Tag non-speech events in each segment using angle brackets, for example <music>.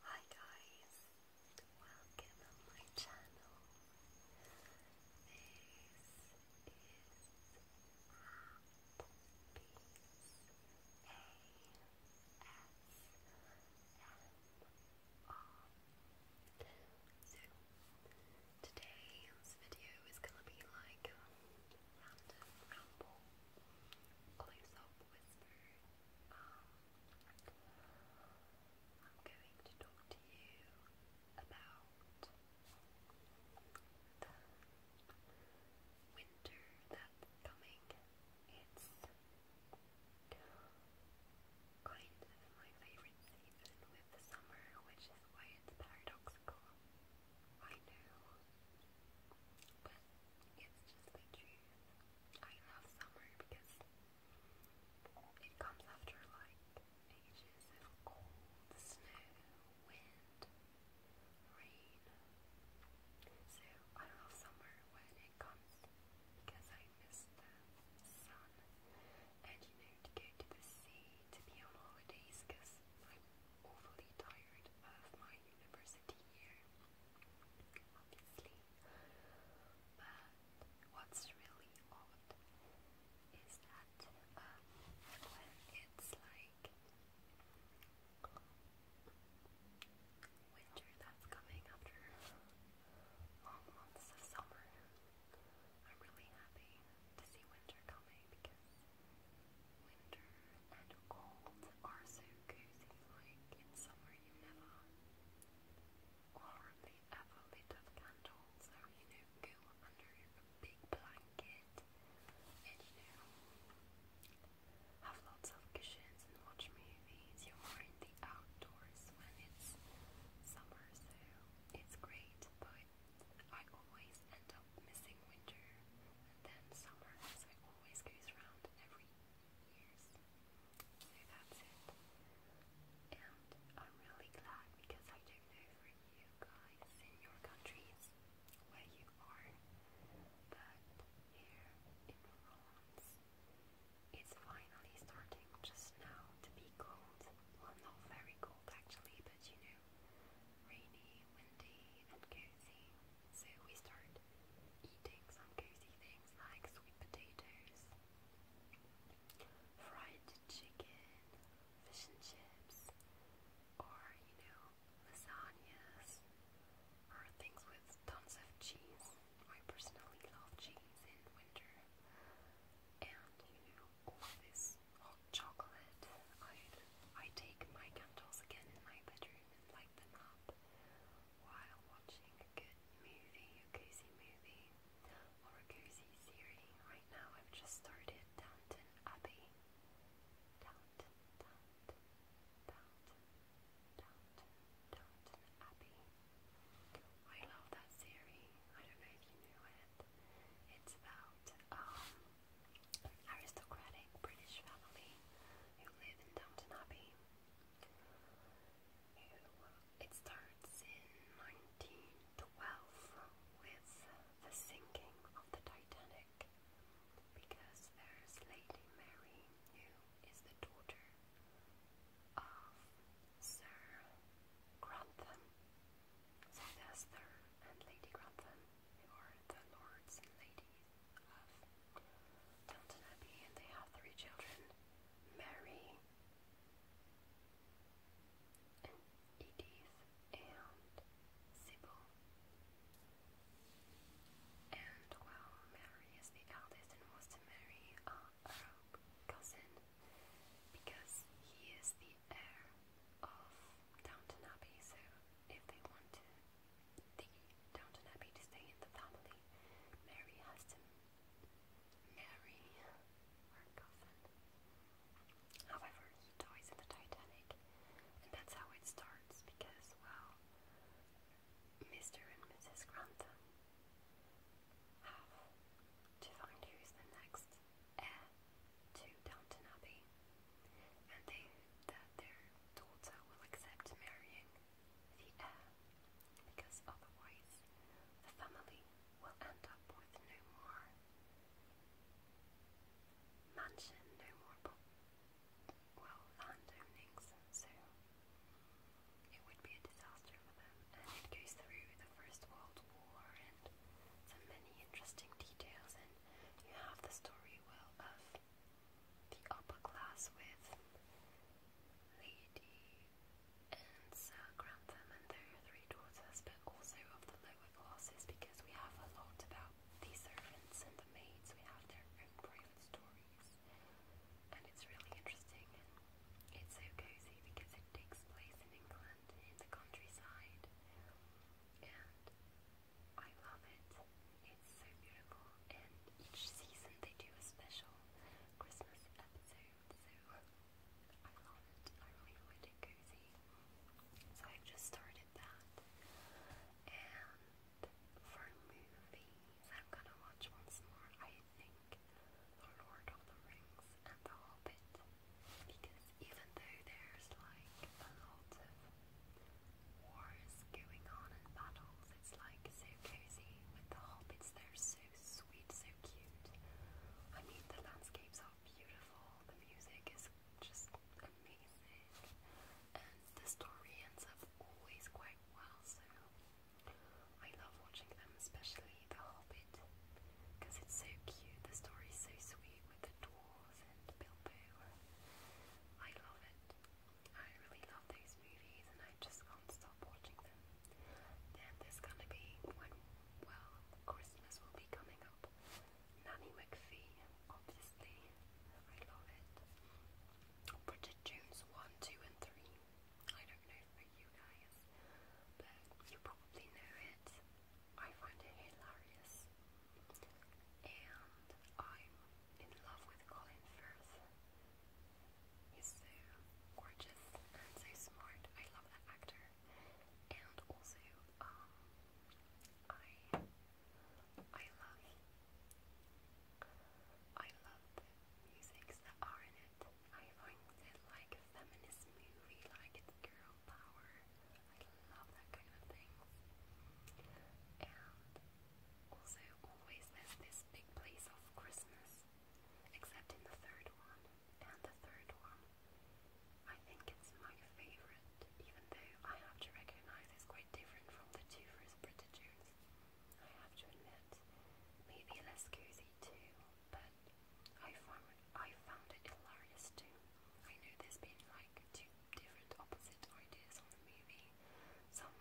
Hi guys, welcome on my channel. This is So today's video is gonna be like a ramble, close up whisper. I'm going to talk to you about the winter that's coming. It's kind my favorite season with the summer, which is why it's paradoxical. I know, it's just the June. I love summer because it comes after like ages of cold, snow, wind, rain. So I love summer when it comes because I miss the sun and you know to go to the sea to be on holidays because I'm awfully tired of my university year but what's really odd is that when it's like winter that's coming after long months of summer, I'm really happy to see winter coming because winter and cold are so cozy like in summer you never or the ever lit of candles so you know go under a big blanket and you know have lots of cushions and watch movies. You're more in the outdoors when it's summer so it's great but I always end up missing winter and then summer so it always goes around every so that's it. And I'm really glad because I don't know for you guys in your countries where you are, but here in France it's finally starting just now to be cold. Well, not very cold actually, but you know, rainy, windy, and cozy. So we start eating some cozy things like sweet potatoes, fried chicken, fish and chips, or you know, lasagnas, or things with tons of cheese. I personally love cheese in winter. And you know, all this hot chocolate. I I take my candles again in my bedroom and light them up while watching a good movie, a cozy movie, or a cozy series. Right now I've just started Downton Abbey. Downton, Downton, Downton, Abbey. I love that series. I don't know if you knew it. It's about um, aristocratic British family who live in Downton Abbey. It starts in 1912 with the sinking of the Titanic because there's Lady Mary who is the daughter of Sir Grantham. So there's and Lady Grantham who are the lords and ladies Downton Abbey, and they have three children Mary, Edith, and Sybil. And well, Mary is the eldest and was to marry a cousin because he is the heir of Downton Abbey, so if they want to the Downton Abbey to stay in the family. Mary has to marry her cousin. However, he dies in the Titanic, and that's how it starts because, well, Mr. and Mrs. Grantham have to find who's the next heir to Downton Abbey, and they that their daughter will accept marrying the heir, because otherwise the family will end up with no more mansion, no more well land so it would be a disaster for them. And it goes through the First World War and so many interesting details, and you have the story well of the upper class with Lady and Sir Grantham and their three daughters, but also of the lower classes because we have a lot about the servants and the maids. We have their own private stories, and it's really interesting. It's so cozy because it takes place in England, in the countryside, and I love it. It's so beautiful, and each season they do a special Christmas episode, so I love it. I really find cozy. So I've just started that. And for movies, I'm gonna watch once more, I think, The Lord of the Rings and The Hobbit. Because even though there's like a lot of wars going on and battles. It's like so cozy with the hobbits. They're so sweet, so cute. I mean, the landscapes are beautiful. The music is just amazing, and the story ends up always quite well. So I love watching them, especially the Hobbit, because it's so cute. The story's so sweet with the dwarves and Bilbo. I love it. I really love these movies and I just can't stop watching them. Then there's gonna be when, well, Christmas will be coming up. Nanny McPhee, obviously, I love it. Bridget Jones 1, 2, and 3. I don't know for you guys, but you probably know it. I find it hilarious. And I'm in love with Colin Firth. He's so gorgeous and so smart. I love that actor. And also, um, I, I love, I love the musics that are in it. I find it like a feminist movie, like it's girl power. I love that kind of thing. And also always there's this big place of Christmas, except in the third one, and the third one. I think it's my favourite, even though I have to recognise it's quite different from the two first Britichers. I have to admit, maybe less cozy too, but I found, I found it hilarious too. I know there's been like two different opposite ideas on the movie. Some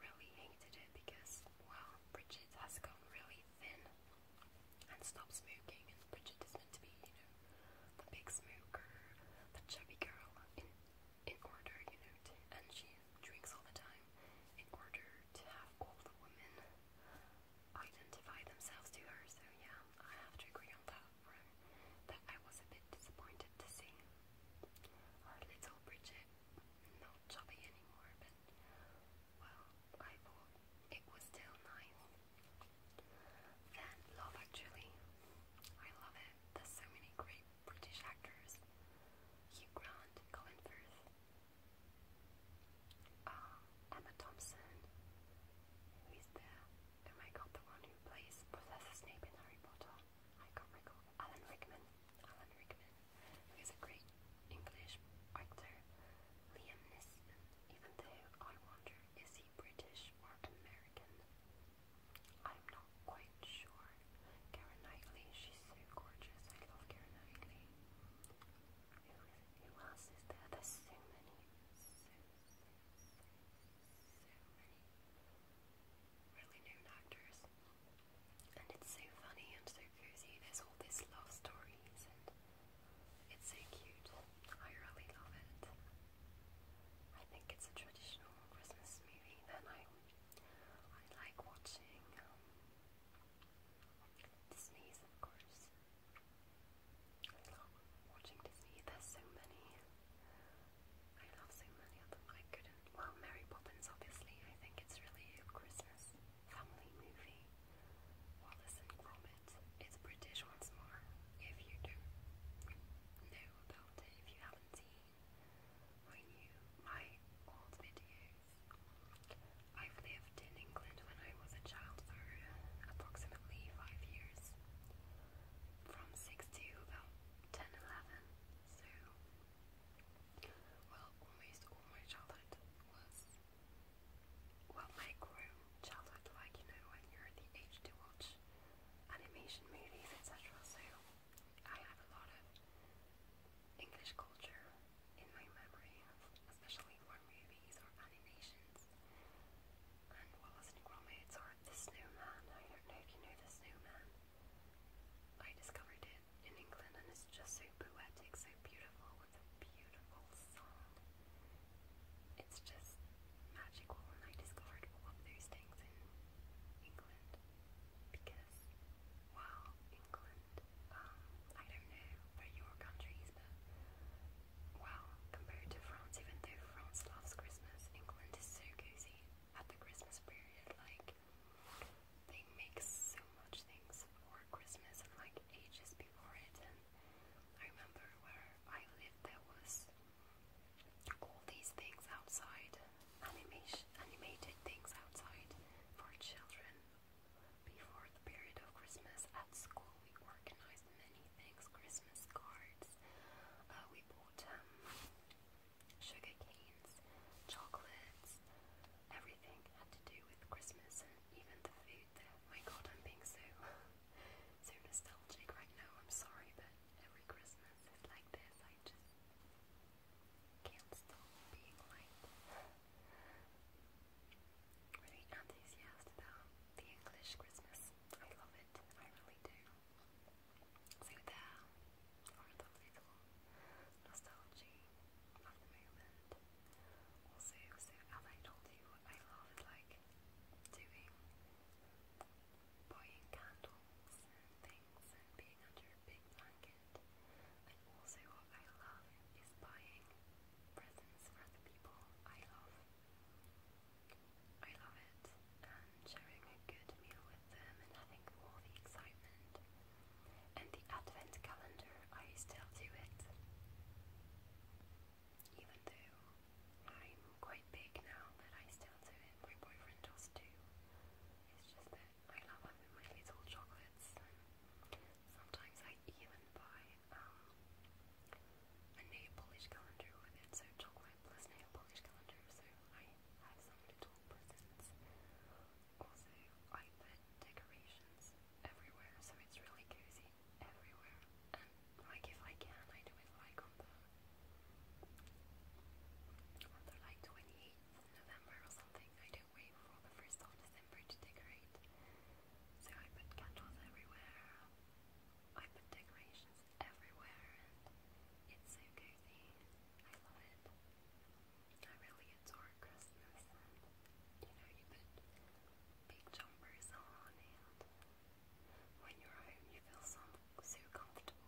really hated it because, well, Bridget has gone really thin and stopped smoking, and Bridget is meant to be, you know, the big smoker, the chubby girl in in order, you know, to, and she drinks all the time in order to have all the women identify themselves to her. So yeah, I have to agree on that one. That I was a bit disappointed to see our little Bridget not choppy anymore, but well, I thought it was still nice. Then Love Actually, I love it. There's so many great British actors. Hugh Grant, Colin Firth, uh, Emma Thompson, who is there? Oh my god, the one who plays Professor Snape in Harry Potter. I can't recall. Alan Rickman. Alan Rickman, who is a great English actor. Liam Neeson, even though I wonder is he British or American? I'm not quite sure. Karen Knightley, she's so gorgeous. I love Karen Knightley. who else is there? There's so many. So, many really known actors. And it's so funny and so cozy. There's all these love stories, and it's so cute. I really love it. I think it's a traditional Christmas movie that I I like watching. Um, Disney's, of course. I love watching Disney. There's so many. I love so many of them. I couldn't. Well, Mary Poppins, obviously. I think it's really a Christmas family movie. Wallace and Gromit. It's British once more. If you do know about it, if you haven't seen my new, my old videos, i lived in England when I was a child for approximately five years, from six to about ten, eleven. So well, almost all my childhood was, well, my childhood, like, you know, when you're the age to watch animation movies, etc. So I have a lot of English culture in my memory, especially for movies or animations. And Wallace and Gromit, or The Snowman, I don't know if you know The Snowman. I discovered it in England and it's just so poetic, so beautiful, with a beautiful sound. It's just magical and I discovered all of those things in England because wow, England, um, I don't know where your country is but wow, compared to France, even though France loves Christmas, England is so cozy at the Christmas period, like they make so much things for Christmas and like ages before it. And I remember where I lived, there was all these things outside, animation, animated things outside for children. Before the period of Christmas at school, we organized many things Christmas cards, uh, we bought um, sugar canes, chocolates, everything had to do with Christmas and even the food there. My god, I'm being so, <laughs> so nostalgic right now, I'm sorry, but every Christmas is like this, I just can't stop being like really enthusiastic about the English Christmas. I love it, I really do through there or that little nostalgia of the moment. Also, so as I told you, I love like doing buying candles and things and being under a big blanket. And also what I love is buying presents for the people I love. I love it and sharing a good meal with them and all the excitement. And the advent calendar, I still do it. Even though I'm quite big now, but I still do it. My boyfriend does too. It's just that I love having my little chocolates. Sometimes I even buy um, a nail polish calendar with it, so chocolate plus nail polish calendar. So I have some little presents also, I put decorations everywhere, so it's really cozy everywhere. And like if I can, I do it like on the on the like 28th November or something. I don't wait for the first of December to decorate. So I put candles everywhere. I put decorations everywhere, and it's so cozy. I love it. I really adore Christmas you know, you put big jumpers on and when you're home you feel so, comfortable.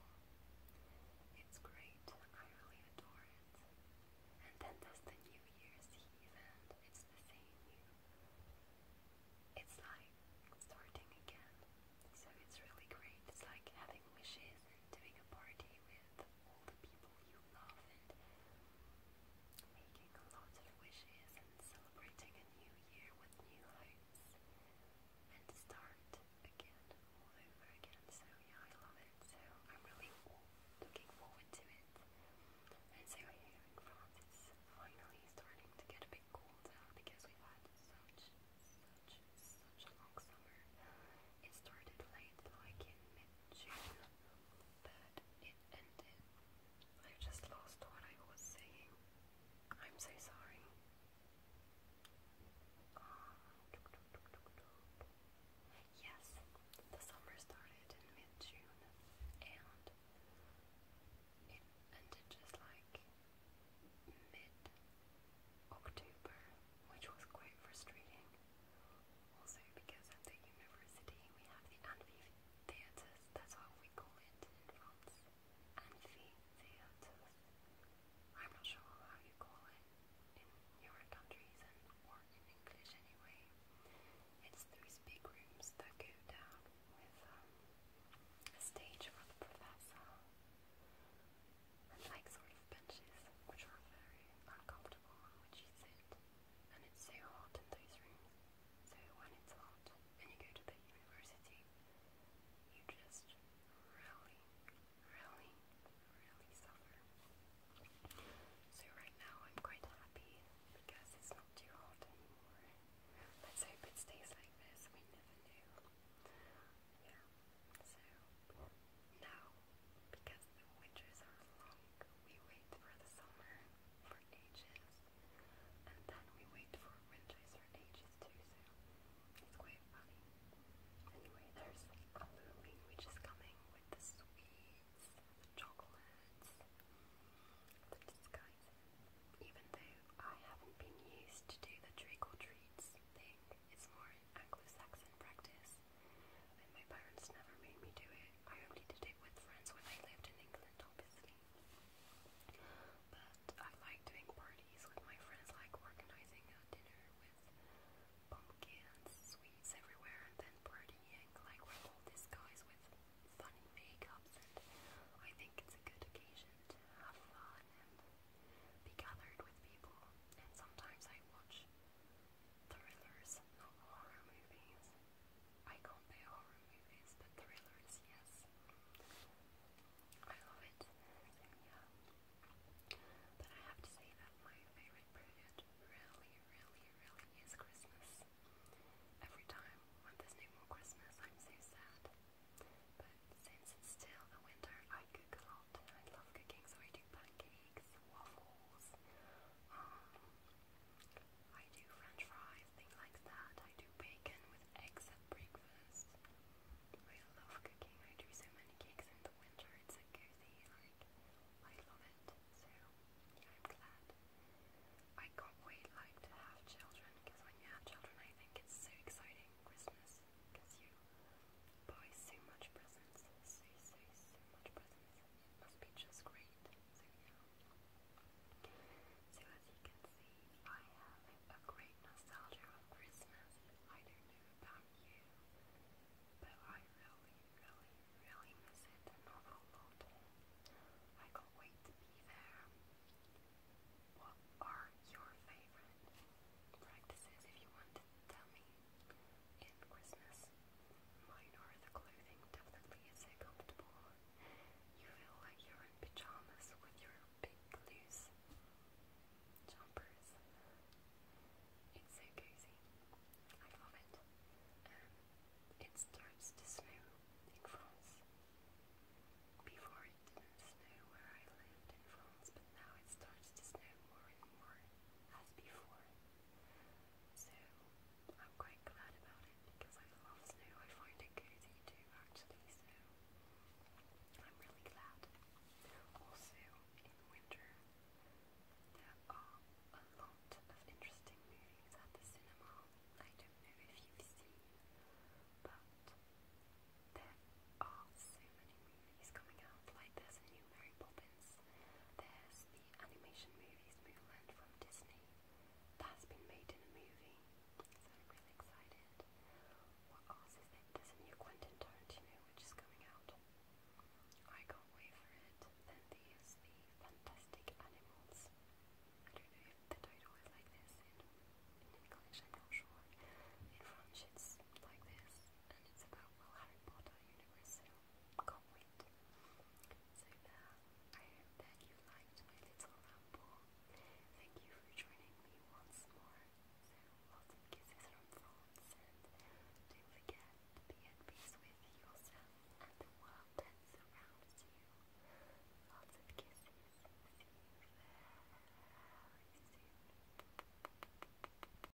It's great. I really adore it. And then there's the New Year's Eve and it's the same It's like starting again. So it's really great. It's like having wishes and doing a party with all the people you love and making lots of wishes and celebrating a new year with new hopes and start again all over again. So yeah, I love it. So I'm really looking forward to it. And so here in France it's finally starting to get a bit colder because we had such such such a long summer. It started late, like mid-June, but it ended. I just lost what I was saying. I'm so sorry. Um, yes, the summer started in mid-June, and it ended just like mid October, which was quite frustrating. Also, because at the university we have the amphitheatres, that's what we call it in France. Amphitheatres. I'm not sure how you call it in your countries and or in English anyway. It's those big rooms that go down with um, a stage for the professor like sort of benches which are very uncomfortable on which you sit and it's so hot in those rooms. So when it's hot and you go to the university you just really, really, really suffer. So right now I'm quite happy because it's not too hot anymore. Let's hope it stays like this, we never know. Yeah, so now because the winters are long. We wait for the summer for ages, and then we wait for winters for ages too, so it's quite funny. Anyway, there's Halloween which is coming with the sweets, the chocolates, the disguises. Even though I haven't been used to do the trick or treats thing, it's more Anglo-Saxon practice, and my parents never made me do it. I only did it with friends when I lived in England, obviously. But I like doing parties with my friends, like organizing a dinner with pumpkins, sweets everywhere, and then partying, like with all these with funny makeups, and I think it's a good occasion to have fun and be gathered with people. And sometimes I watch thrillers, not horror movies. I can't bear horror movies, but thrillers, yes. I love it. yeah. But I have to say that my favorite period really, really, really is Christmas. Every time when there's no more Christmas, I'm so sad. But since it's still the winter, I cook a lot. I love cooking, so I do pancakes, waffles, um, I do french fries, things like that. I do bacon with eggs at breakfast. I love cooking. I do so many cakes in the winter. It's so Like, I love it. So, yeah, I'm glad. I can't wait, like, to have children because when you have children, I think it's so exciting. Christmas, because you Buy so much presents. So, so, so much presents. must be just great. So, as you can see, I have a great nostalgia of Christmas. I don't know about you, but I really, really, really miss it I can't wait to be there. What are your favorite practices if you want to dummy in Christmas. Mine are clothing definitely isn't comfortable. You feel like you're in pajamas with your big loose jumpers. It's so cozy. I love it. Um, it starts to snow in France. Before it didn't snow where I lived in France, but now it starts to snow more and more as before. So I'm quite glad about it because I love snow. I find it cozy too actually, so I'm really glad. Also in winter there are a lot of interesting movies at the cinema. I don't know if you've seen but there are so many movies is coming out. Like there's a new Mary Poppins. There's the animation movies Mulan from Disney. That's been made in a movie. So I'm really excited. What else is there? There's a new Quentin Tarantino which is coming out. I can't wait for it. Then there's the Fantastic Animals. I don't know if the title is like this in, English, I'm not sure. In French it's like this, and it's about, well, Harry Potter universe comment. So now, I hope that you liked my little ramble. Thank you for joining me once more. lots of kisses from France, and don't forget to be at peace with yourself and the world that surrounds you. Lots of kisses. See you very